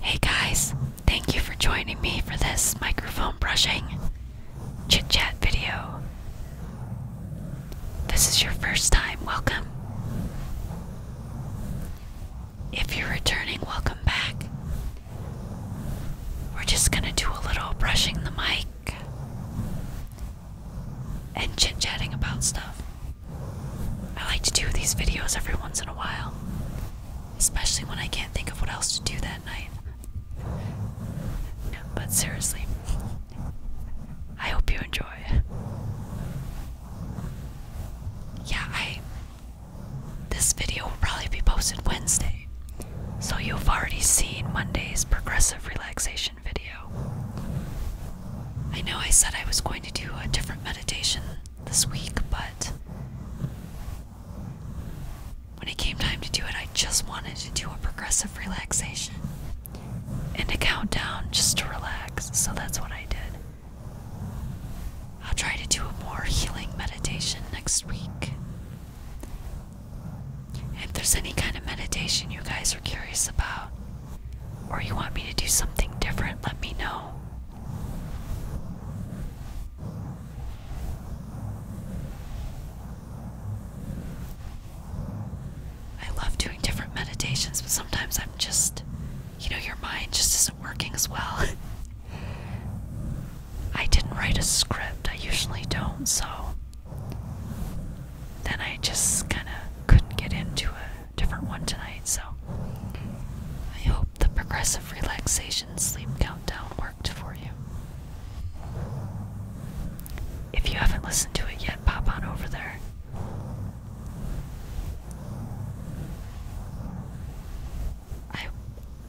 Hey guys, thank you for joining me for this microphone brushing chit chat video. This is your first time, welcome. If you're returning, welcome back. We're just gonna do a little brushing the mic and chit chatting about stuff. I like to do these videos every once in a while, especially when I can't think of what else to do that night. But seriously, I hope you enjoy. Yeah, I. This video will probably be posted Wednesday, so you've already seen Monday's progressive relaxation video. I know I said I was going to do a different meditation this week, but when it came time to do it, I just wanted to do a progressive relaxation and a countdown just to relax, so that's what I did. I'll try to do a more healing meditation next week. If there's any kind of meditation you guys are curious about, or you want me to do something different, let me know. I love doing different meditations, but sometimes I'm just, you know, your mind just isn't working as well. I didn't write a script, I usually don't, so then I just kind of couldn't get into it different one tonight. So I hope the progressive relaxation sleep countdown worked for you. If you haven't listened to it yet, pop on over there. I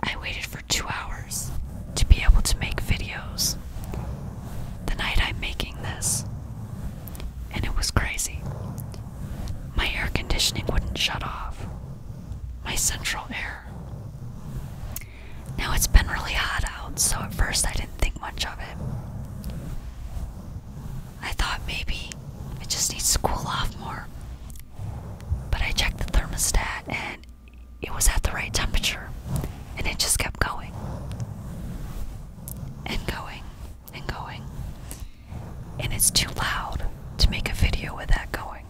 I waited for 2 hours to be able to make videos. The night I'm making this and it was crazy. My air conditioning wouldn't shut off. My central air. Now it's been really hot out, so at first I didn't think much of it. I thought maybe it just needs to cool off more. But I checked the thermostat and it was at the right temperature and it just kept going and going and going and it's too loud to make a video with that going.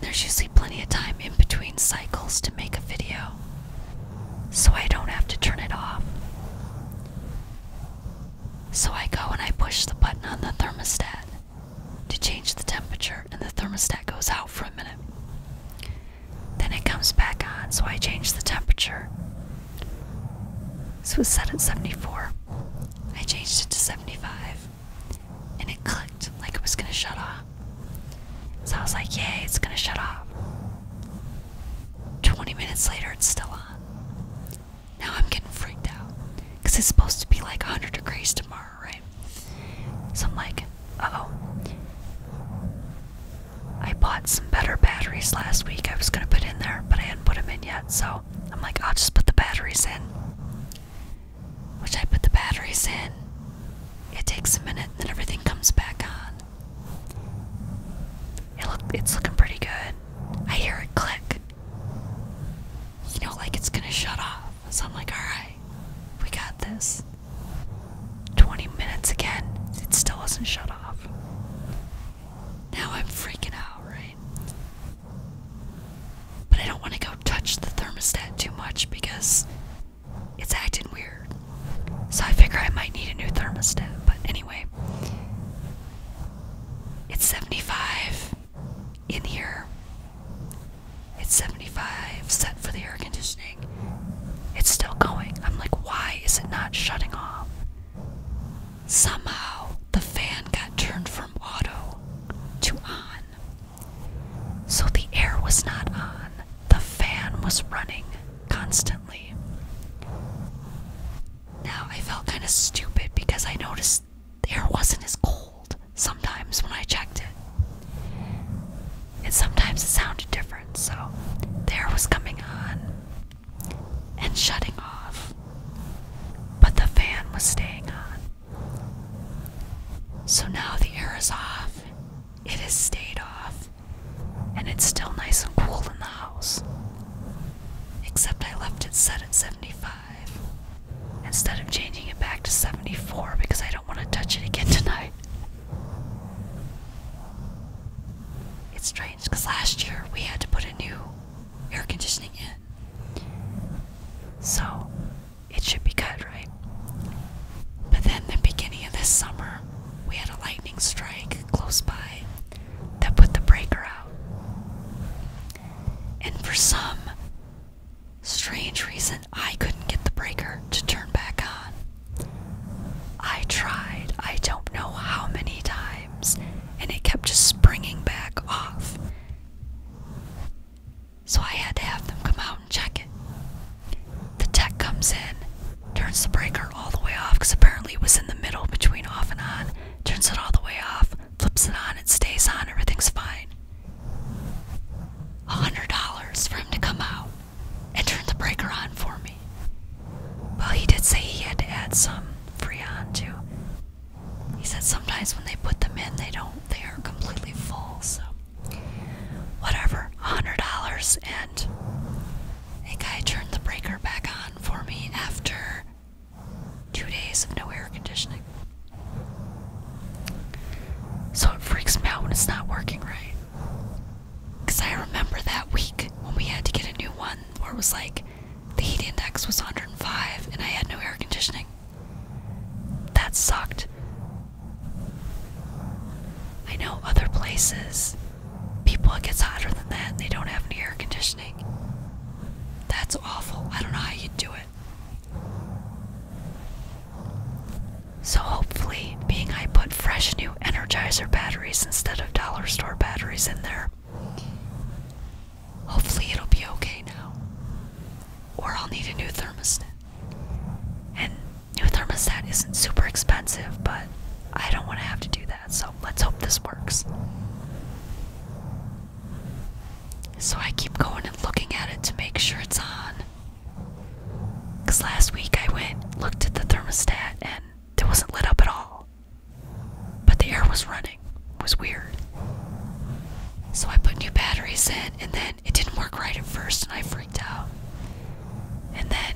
There's usually plenty of time in between cycles to make a video, so I don't have to turn it off. So I go and I push the button on the thermostat to change the temperature, and the thermostat goes out for a minute. Then it comes back on, so I change the temperature this was set at 74. I changed it to 75. And it clicked like it was gonna shut off. So I was like, yay, it's gonna shut off. 20 minutes later, it's still on. Now I'm getting freaked out. Because it's supposed to be like 100 degrees tomorrow, right? So I'm like, oh. I bought some better batteries last week I was gonna put in there, but I put them in yet, so I'm like, I'll just put the batteries in. Which I put the batteries in. It takes a minute, and then everything comes back on. It look, it's looking pretty good. I hear it click. You know, like it's gonna shut off. So I'm like, all right, we got this. 20 minutes again, it still wasn't shut off. Now I'm freaking out, right? But I don't want to go touch the thermostat too much because it's acting weird. So I figure I might need a new thermostat. But anyway, it's 75 in here. It's 75 set for the air conditioning. It's still going. I'm like, why is it not shutting off? Somehow the fan got turned from auto to on. So the air was not on, the fan was running constantly. Now I felt kind of stupid because I noticed the air wasn't as cold sometimes when I checked it. And sometimes it sounded different, so the air was coming on and shutting off, but the fan was staying on. So now the air is off, it has stayed off, and it's still nice and cool in the house. Except I left it set at 75 instead of changing it back to 74 because I don't want to touch it again tonight. It's because last year we had to put a new air conditioning in. So it should be good, right? But then, the beginning of this summer, we had a lightning strike close by that put the breaker out. And for some strange reason, I couldn't get the breaker to turn back on. I tried, I don't know how many times and it kept just springing back off. So I had to have them come out and check it. The tech comes in, turns the breaker all the way off because apparently it was in the middle between off and on, turns it all the way off, flips it on, it stays on, everything's fine. $100 for him to come out and turn the breaker on for me. Well, he did say he had to add some Free on too. He said sometimes when they put them in, they don't, they are completely full. So, whatever, a $100. And a guy turned the breaker back on for me after two days of no air conditioning. So it freaks me out when it's not working right. Because I remember that week when we had to get a new one where it was like the heat index was 105 and I had no air conditioning. That sucked. I know other places, people, it gets hotter than that and they don't have any air conditioning. That's awful. I don't know how you do it. So, hopefully, being I put fresh new Energizer batteries instead of dollar store batteries in there Hopefully, it'll be okay now. Or I'll need a new thermostat. And new thermostat isn't super expensive, but I don't want to have to do that, so let's hope this works. So I keep going and looking at it to make sure it's on. Because last week I went, looked at the thermostat, and it wasn't lit up at all. But the air was running. It was weird. So I put new batteries in, and then it didn't work right at first, and I freaked out. And then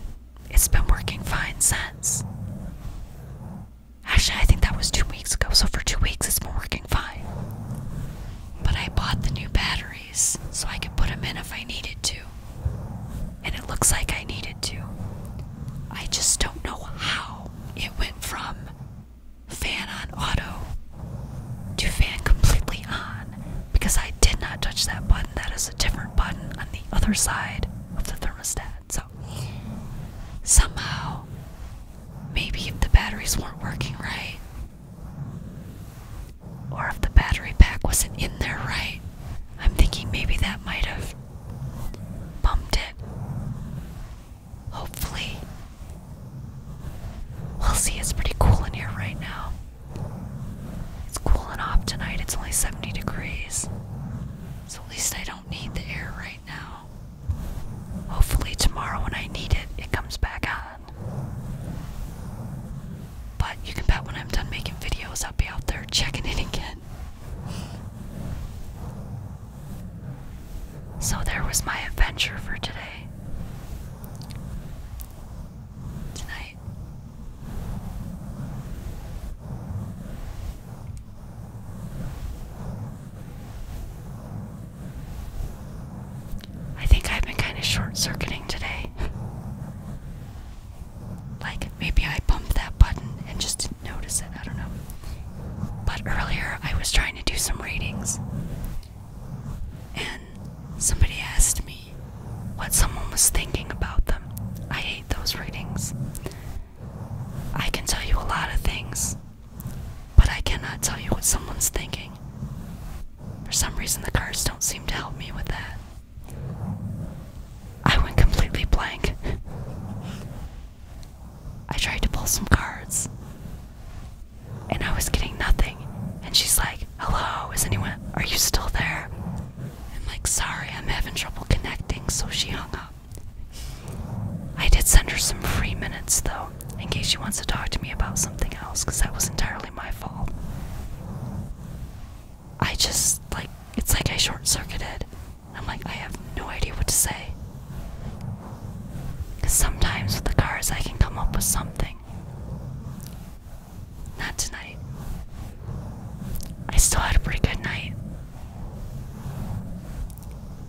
it's been working fine since. Actually, I think that was two weeks ago, so for two weeks it's been working fine. But I bought the new batteries so I could put them in if I needed to. And it looks like I needed to. I just don't know how it went from fan on auto to fan completely on because I did not touch that button. That is a different button on the other side of the thermostat. So somehow, maybe if the batteries weren't working right, or if the battery pack wasn't in there right, I'm thinking maybe that might have bumped it. Hopefully. We'll see, it's pretty cool in here right now. It's cooling off tonight, it's only 70 degrees. So at least I don't need the air right now. Hopefully, tomorrow when I need it, it comes back on. But you can bet when I'm done making videos, I'll be out there checking it again. So there was my adventure for today. Tonight. I think I've been kind of short circuiting today. like, maybe I bumped that button and just didn't notice it. I don't know. But earlier I was trying to do some readings, and somebody asked me what someone was thinking about them. I hate those readings. I can tell you a lot of things, but I cannot tell you what someone's thinking. For some reason, the cards don't seem to help me with that. I went completely blank. I tried to pull some cards and I was getting nothing. And she's like, Hello, is anyone, are you still there? I'm like, Sorry, I'm having trouble connecting. So she hung up. I did send her some free minutes though, in case she wants to talk to me about something else, because that was entirely my fault. I just, like, it's like I short circuited. I'm like, I have no idea what to say. Because sometimes with the cars, I can come up with something. Not tonight. I still had a pretty good night.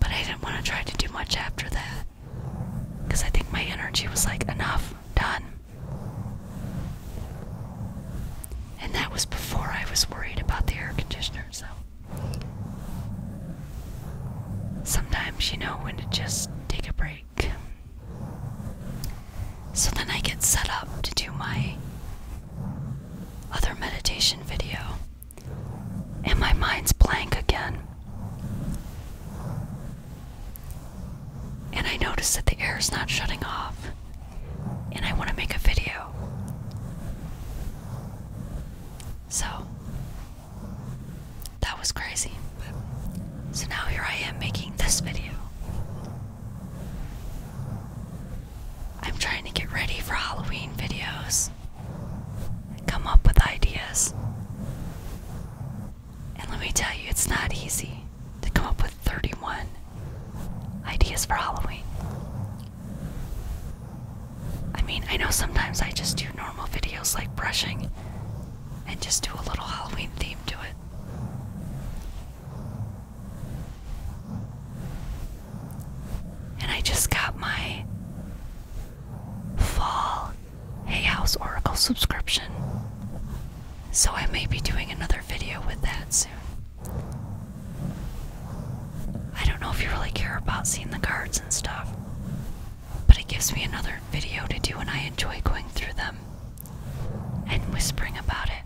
But I didn't want to try to do much after that. Because I think my energy was like, enough, done. And that was before I was worried about the air conditioner, so. Sometimes you know when to just take a break. So then I get set up to do my other meditation video, and my mind's blank again. And I notice that the air is not shutting off, and I want to make a video. So that was crazy. So now here I am making this video. I'm trying to get ready for Halloween videos, come up with ideas. And let me tell you, it's not easy to come up with 31 ideas for Halloween. I mean, I know sometimes I just do normal videos like brushing and just do a little Halloween theme to it. And I just got my fall Hay House Oracle subscription. So I may be doing another video with that soon. I don't know if you really care about seeing the cards and stuff, but it gives me another video to do, and I enjoy going through them and whispering about it.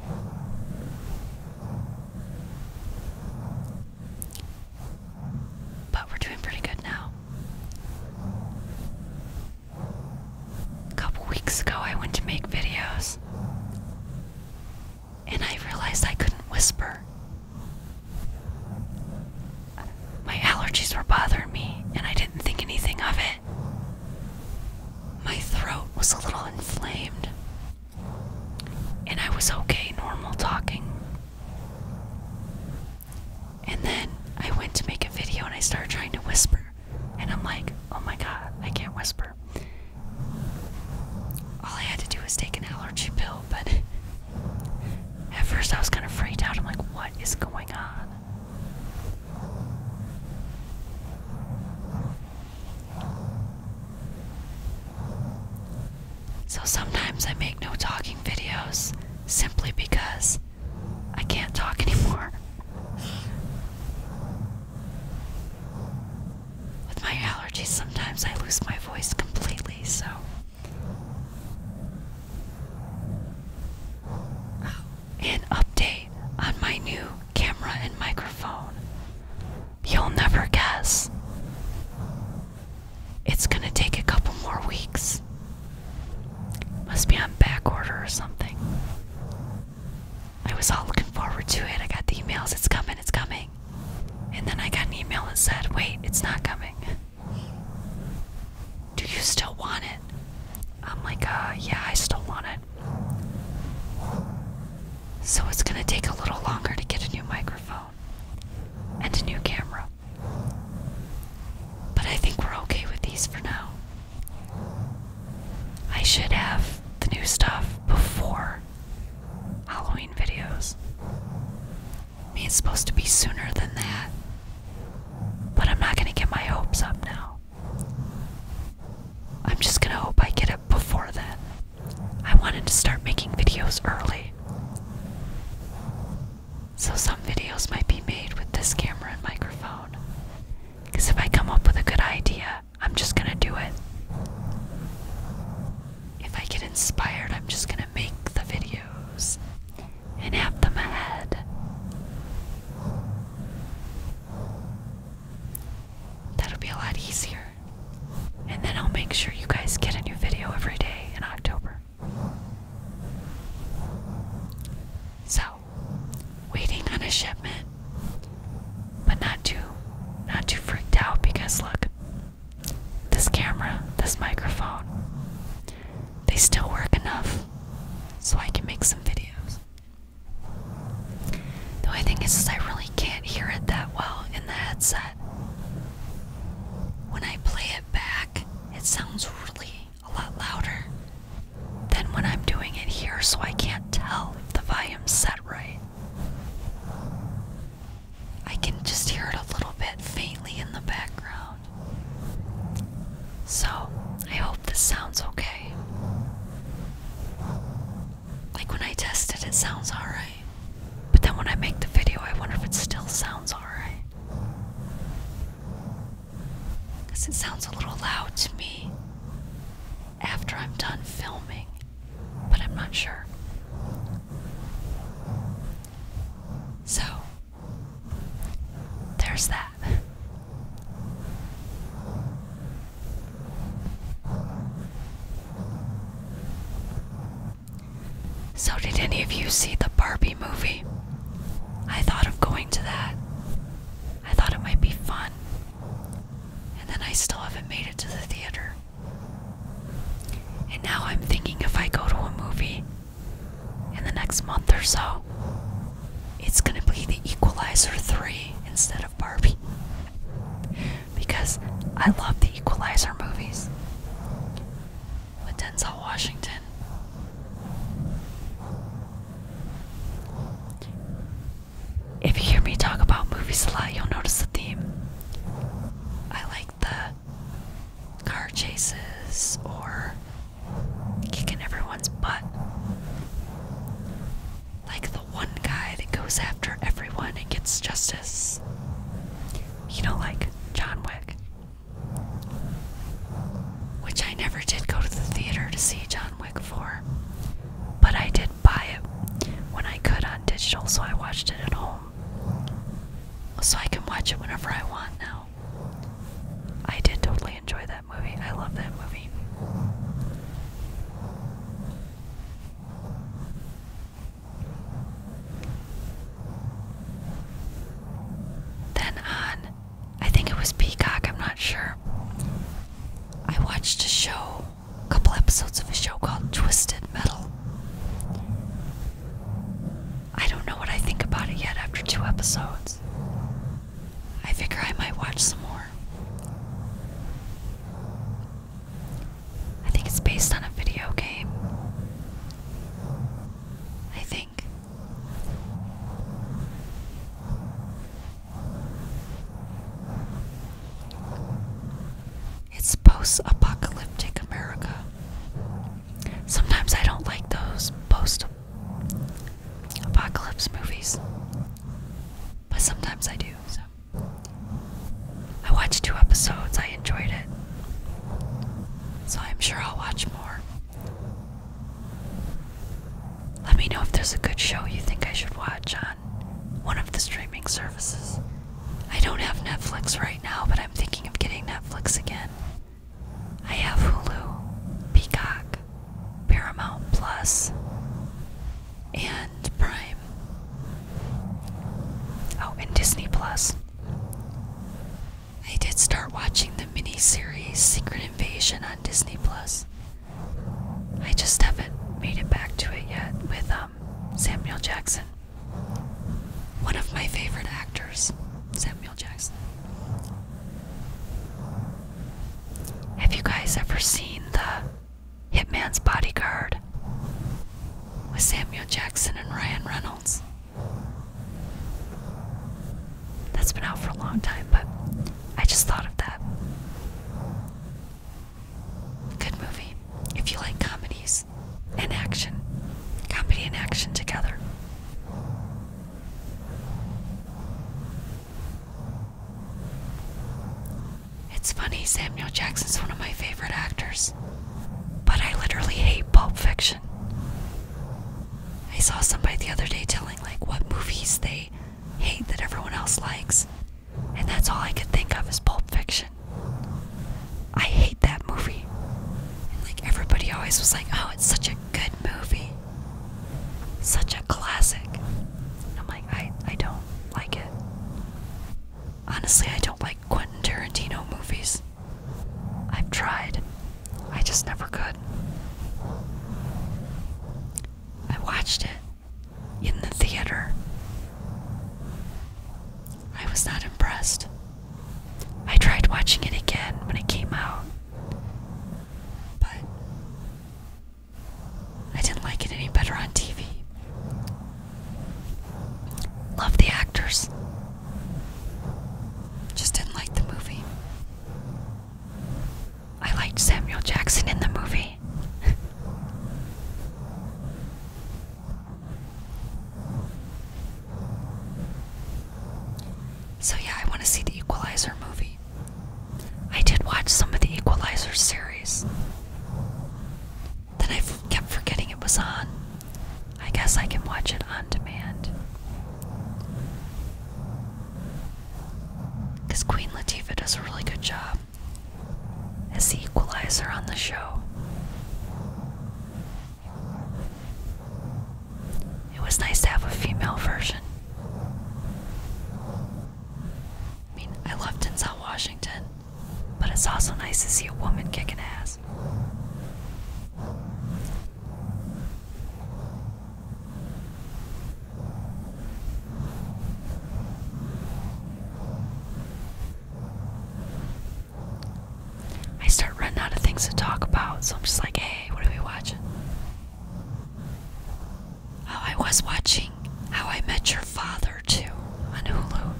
But we're doing pretty good now. A couple weeks ago, I went to make videos and I realized I couldn't whisper. My allergies were bothering me, and I didn't think anything of it. My throat was a little inflamed, and I was okay normal talking. And then I went to make a video and I started trying to whisper, and I'm like, oh my god, I can't whisper. All I had to do was take an allergy pill but at first I was kind of freaked out. I'm like, what is going on? So sometimes I make no talking videos simply because I can't talk anymore. With my allergies, sometimes I lose my voice completely, so. Oh, an update on my new camera and microphone. You'll never guess. It's gonna take a couple more weeks. Must be on back order or something. I was all looking forward to it. I got the emails. It's coming, it's coming. And then I got an email that said, wait, it's not coming. Do you still want it? I'm like, uh, yeah, I still want it. So it's gonna take a little longer to get a new microphone and a new camera. But I think we're okay with these for now. I should have the new stuff before Halloween videos. I it's supposed to be sooner than that. But I'm not gonna get my hopes up now. I'm just gonna hope I get it before then. I wanted to start making videos early. So some videos might be made with this camera and microphone. Because if I come up with a good idea, I'm just gonna do it if I get inspired, I'm just gonna make the videos and have them ahead. That'll be a lot easier. And then I'll make sure you guys get a new video every day in October. So, waiting on a shipment, but not too not too freaked out because look, this camera, this microphone, they still work enough so I can make some videos. The only thing is, I really can't hear it that well in the headset. When I play it back, it sounds really a lot louder than when I'm doing it here, so I can't tell if the volume's set right. I can just hear it a little bit faintly in the background. So, I hope this sounds okay. Like when I test it, it sounds alright. But then when I make the video, I wonder if it still sounds alright. Because it sounds a little loud to me after I'm done filming but I'm not sure. So, there's that. So, did any of you see the Barbie movie? I thought of going to that. I thought it might be fun. And then I still haven't made it to the theater. And now I'm thinking if I go to a movie in the next month or so, it's gonna be The Equalizer 3 instead of Barbie. Because I love the Equalizer movies with Denzel Washington. If you hear me talk about movies a lot, you'll notice a theme. I like the car chases or kicking everyone's butt. Like the one guy that goes after everyone and gets justice. You know, like John Wick. Which I never did go to the theater to see John Wick for, But I did buy it when I could on digital, so I watched it at home. So I can watch it whenever I want now. I did totally enjoy that movie. I love that movie. Then on, I think it was Peacock, I'm not sure. I watched a show, a couple episodes of a show called Twisted Metal. I don't know what I think about it yet after two episodes. I figure I might watch some more. I think it's based on a video game. I think. It's post apocalyptic America. Sometimes I don't like those post apocalypse movies, but sometimes I do. So I watched two episodes, I enjoyed it. So I'm sure I'll watch more. Let me know if there's a good show you think I should watch on one of the streaming services. I don't have Netflix right now, but I'm thinking of getting Netflix again. I have Hulu, Peacock, Paramount Plus, and Prime. Oh, and Disney Plus. I did start watching the mini series Secret Invasion on Disney Plus. I just haven't made it back to it yet with um um, Samuel Jackson. One of my favorite actors, Samuel Jackson. Have you guys ever seen the Hitman's Bodyguard with Samuel Jackson and Ryan Reynolds? That's been out for a long time, but I just thought of that. Good movie. If you like comedies, in action, comedy in action together. It's funny, Samuel Jackson's one of my favorite actors, but I literally hate Pulp Fiction. I saw somebody the other day telling like what movies they hate that everyone else likes, and that's all I could think of is Pulp Fiction. I hate that movie. like everybody always was like, oh, it's such a good movie. Such a classic. I'm like, I, I don't like it. Honestly, I don't like Quentin Tarantino movies. I've tried. I just never could. I watched it in the theater. I was not impressed. I tried watching it again when it came out, but I didn't like it any better on TV. Love the actors, just didn't like the movie. I liked Samuel Jackson in the movie. So, yeah, I want to see the Equalizer movie. I did watch some of the Equalizer series. Then I kept forgetting it was on. I guess I can watch it on demand. Because Queen Latifah does a really good job as the equalizer on the show. It was nice to have a female version. I mean, I love Denzel Washington, but it's also nice to see a woman kicking ass. I start running out of things to talk about, so I'm just like, hey, what are we watching? Oh, I was watching How I Met Your Father too on Hulu.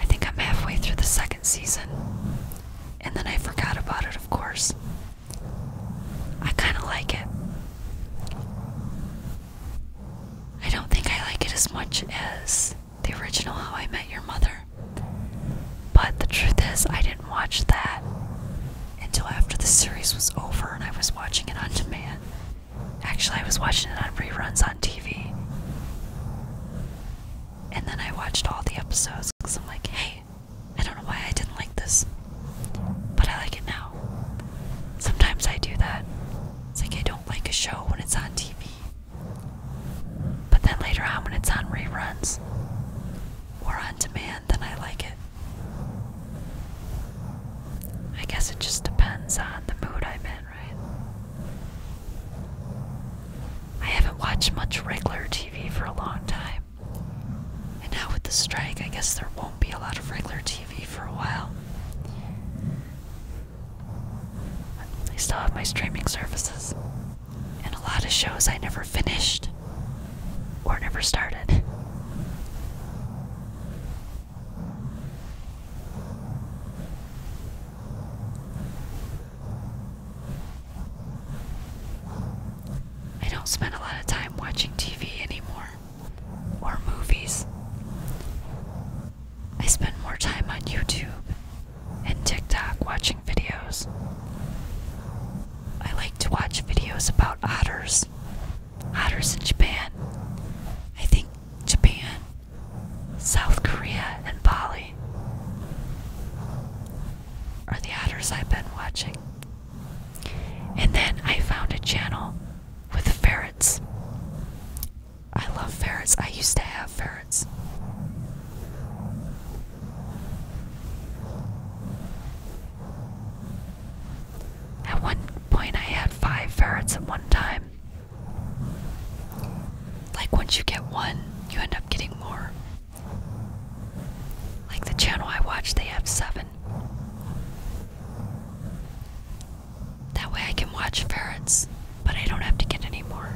I think I'm halfway through the second season. And then I forgot about it, of course. I kind of like it. I don't think I like it as much as the original How I Met Your Mother. But the truth is, I didn't watch that until after the series was over and I was watching it on demand. Actually, I was watching it on reruns on TV. And then I watched all the episodes because I'm like, hey, I don't know why I didn't like this, but I like it now. Sometimes I do that. It's like I don't like a show when it's on TV. But then later on, when it's on reruns or on demand, then I like it. I guess it just depends on the mood I'm in, right? I haven't watched much regular TV for a long time. And now with the strike, I guess there won't be a lot of regular TV for a while. I still have my streaming services and a lot of shows I never finished or never started. I don't spend a lot of time watching TV anymore or movies. I spend more time on YouTube and TikTok watching videos. I like to watch videos about otters. Otters in Japan. I think Japan, South Korea, and Bali are the otters I've been watching. And then I found a channel with ferrets. I love ferrets. I used to have ferrets. At one point, I had five ferrets at one time. Like, once you get one, you end up getting more. Like the channel I watch, they have seven. That way I can watch ferrets, but I don't have to get any more.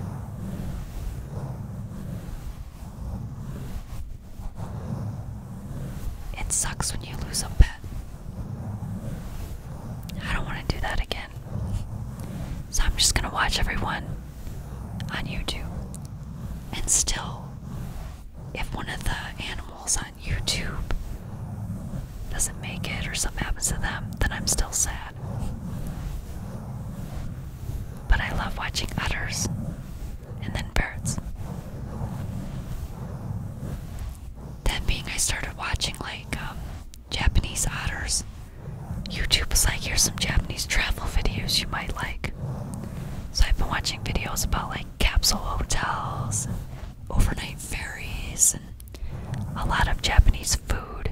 It sucks when you lose a pet. I don't want to do that again. So I'm just going to watch everyone on YouTube. And still, if one of the animals on YouTube doesn't make it or something happens to them, then I'm still sad. But I love watching otters, and then birds. Then being I started watching like um, Japanese otters. YouTube was like, here's some Japanese travel videos you might like. So I've been watching videos about like capsule hotels overnight ferries and a lot of Japanese food.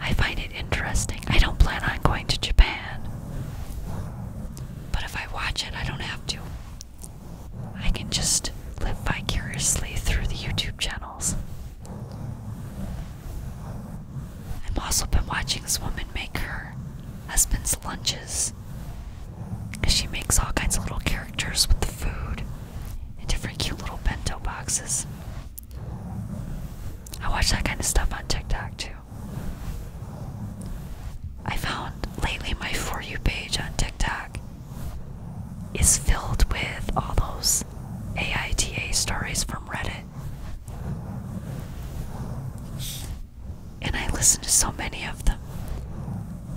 I find it interesting. I don't plan on going to Japan, but if I watch it, I don't have to. I can just live vicariously through the YouTube channels. I've also been watching this woman make her husband's lunches. Because she makes all kinds of little characters with the food and different cute little bento boxes. I watch that kind of stuff on TikTok too. I found lately my For You page on TikTok is filled with all those AITA stories from Reddit. And I listen to so many of them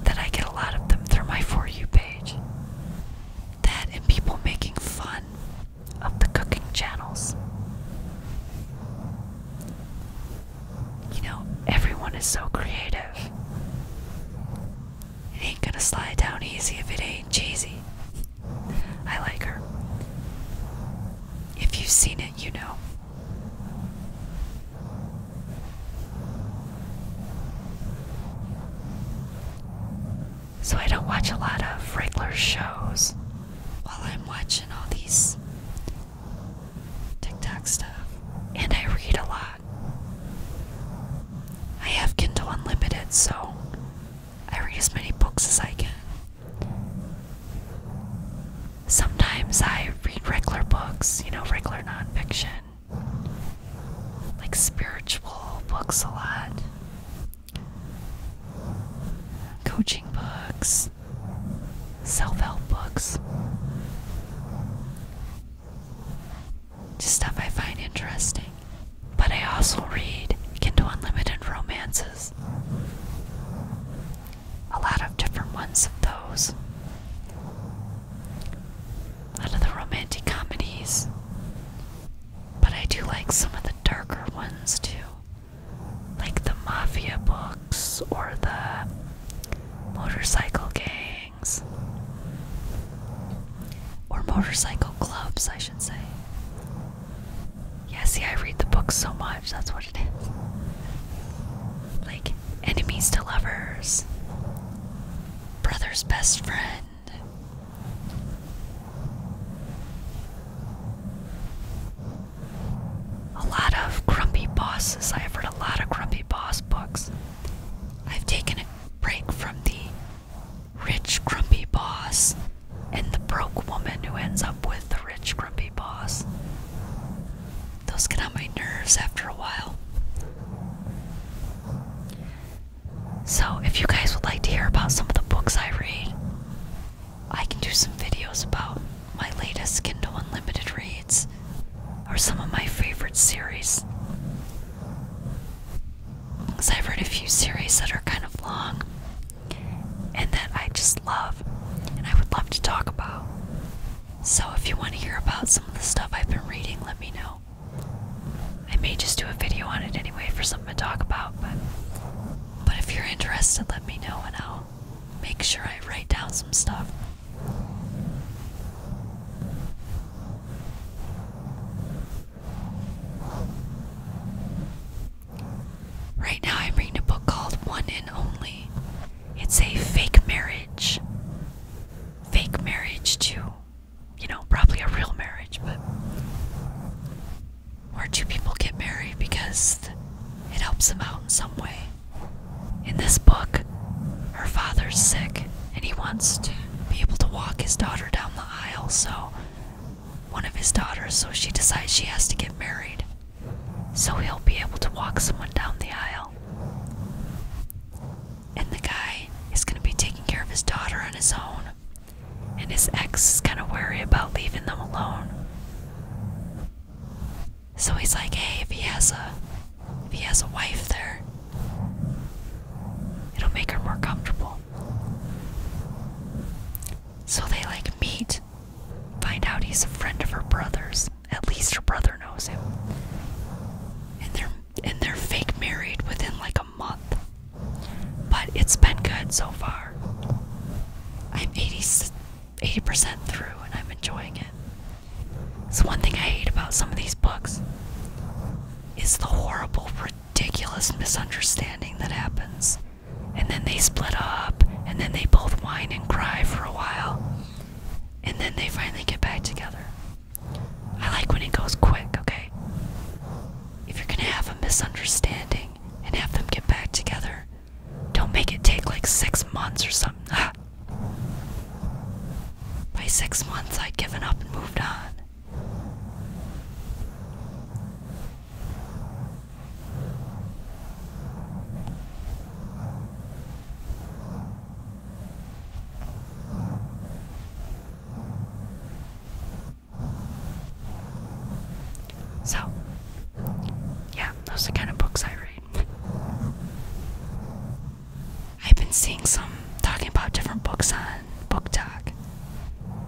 that I get a lot of them through my For You page. That and people making fun of the cooking channels. You know, everyone is so creative. It ain't gonna slide down easy if it ain't cheesy. I like her. If you've seen it, you know. So I don't watch a lot of regular shows while I'm watching all these TikTok stuff. And I read a lot. I have Kindle Unlimited, so I read as many books as I can. Sometimes I read regular books, you know, regular nonfiction like spiritual books a lot, coaching books, self help books, just stuff I find interesting. But I also read Kindle Unlimited romances, a lot of different ones of those out of the romantic comedies, but I do like some of the darker ones too, like the mafia books or the motorcycle gangs or motorcycle clubs, I should say. Yeah, see, I read the books so much, that's what it is. Like, Enemies to lovers. Brother's best friend. A lot of grumpy bosses. I have read a lot of grumpy boss books. I've taken a break from the rich grumpy boss and the broke woman who ends up with the rich grumpy boss. Those get on my nerves after a while. So, if you guys would like to hear about some of the books I read, I can do some videos about my latest Kindle Unlimited reads or some of my favorite series. Because I've read a few series that are kind of long and that I just love and I would love to talk about. So, if you want to hear about some of the stuff I've been reading, let me know. I may just do a video on it anyway for something to talk about, but but if you're interested, let me know and I'll make sure I write down some stuff. Right now, I'm reading a book called One and Only. It's a fake marriage. Fake marriage to you know, probably a real marriage, but where two people get married because it helps them out in some way. In this book, her father's sick and he wants to be able to walk his daughter down the aisle, so one of his daughters, so she decides she has to get married so he'll be able to walk someone down the aisle and the guy is going to be taking care of his daughter on his own. And his ex is kind of worried about leaving them alone. So he's like, hey, if he has a if he has a wife there, it'll make her more comfortable. So they like meet, find out he's a friend of her brother's. At least her brother knows him. And they're and they're fake married within like a month. But it's been good so far. I'm 80% through and I'm enjoying it. It's one thing I hate about some of these books is the horrible, ridiculous misunderstanding that happens. And then they split up, and then they both whine and cry for a while, and then they finally get back together. I like when it goes quick, okay? If you're gonna have a misunderstanding and have them get back together, don't make it take like six months or something. Ah. By six months, I'd given up and moved on. So, yeah, those are the kind of books I read. I've been seeing some talking about different books on Book Talk,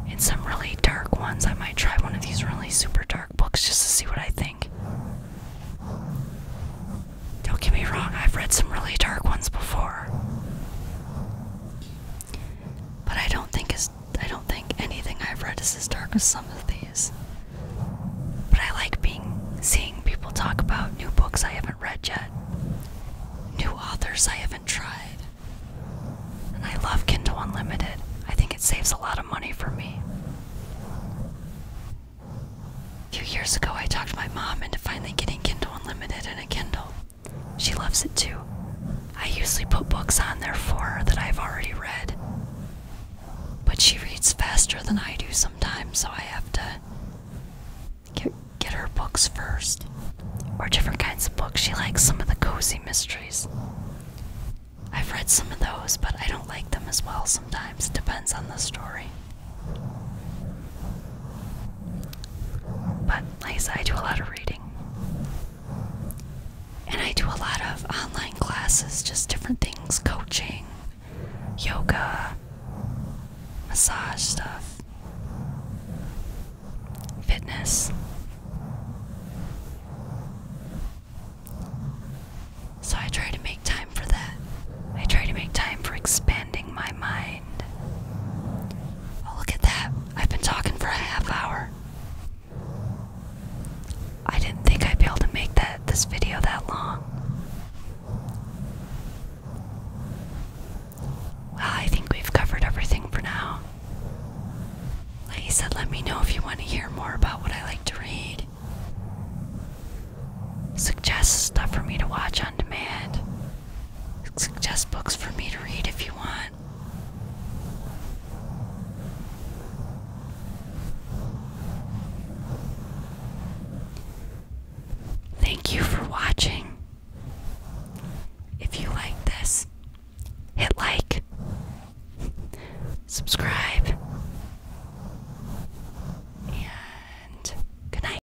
And some really dark ones. I might try one of these really super dark books just to see what I think. Don't get me wrong, I've read some really dark ones before. But I don't think as I don't think anything I've read is as dark as some of these. But I like being seeing people talk about new books I haven't read yet. New authors I haven't tried. And I love Kindle Unlimited. I think it saves a lot of money for me. A few years ago, I talked my mom into finally getting Kindle Unlimited and a Kindle. She loves it too. I usually put books on there for her that I've already read. But she reads faster than I do sometimes, so I have to get, get her books first. Or different kinds of books. She likes some of the cozy mysteries. I've read some of those, but I don't like them as well sometimes. it Depends on the story. But like I do a lot of reading. And I do a lot of online classes, just different things coaching, yoga, massage stuff, fitness. So I try to make time for that. I try to make time for expanding my mind Oh, look at that. I've been talking for a half hour. I didn't think I'd be able to make that this video that long. Well, I think we've covered everything for now. Like he said, let me know if you want to hear more about what I like to read. Suggest stuff for me to watch Research Suggest books for me to read if you want. Thank you for watching. If you like this, hit like, subscribe, and good night.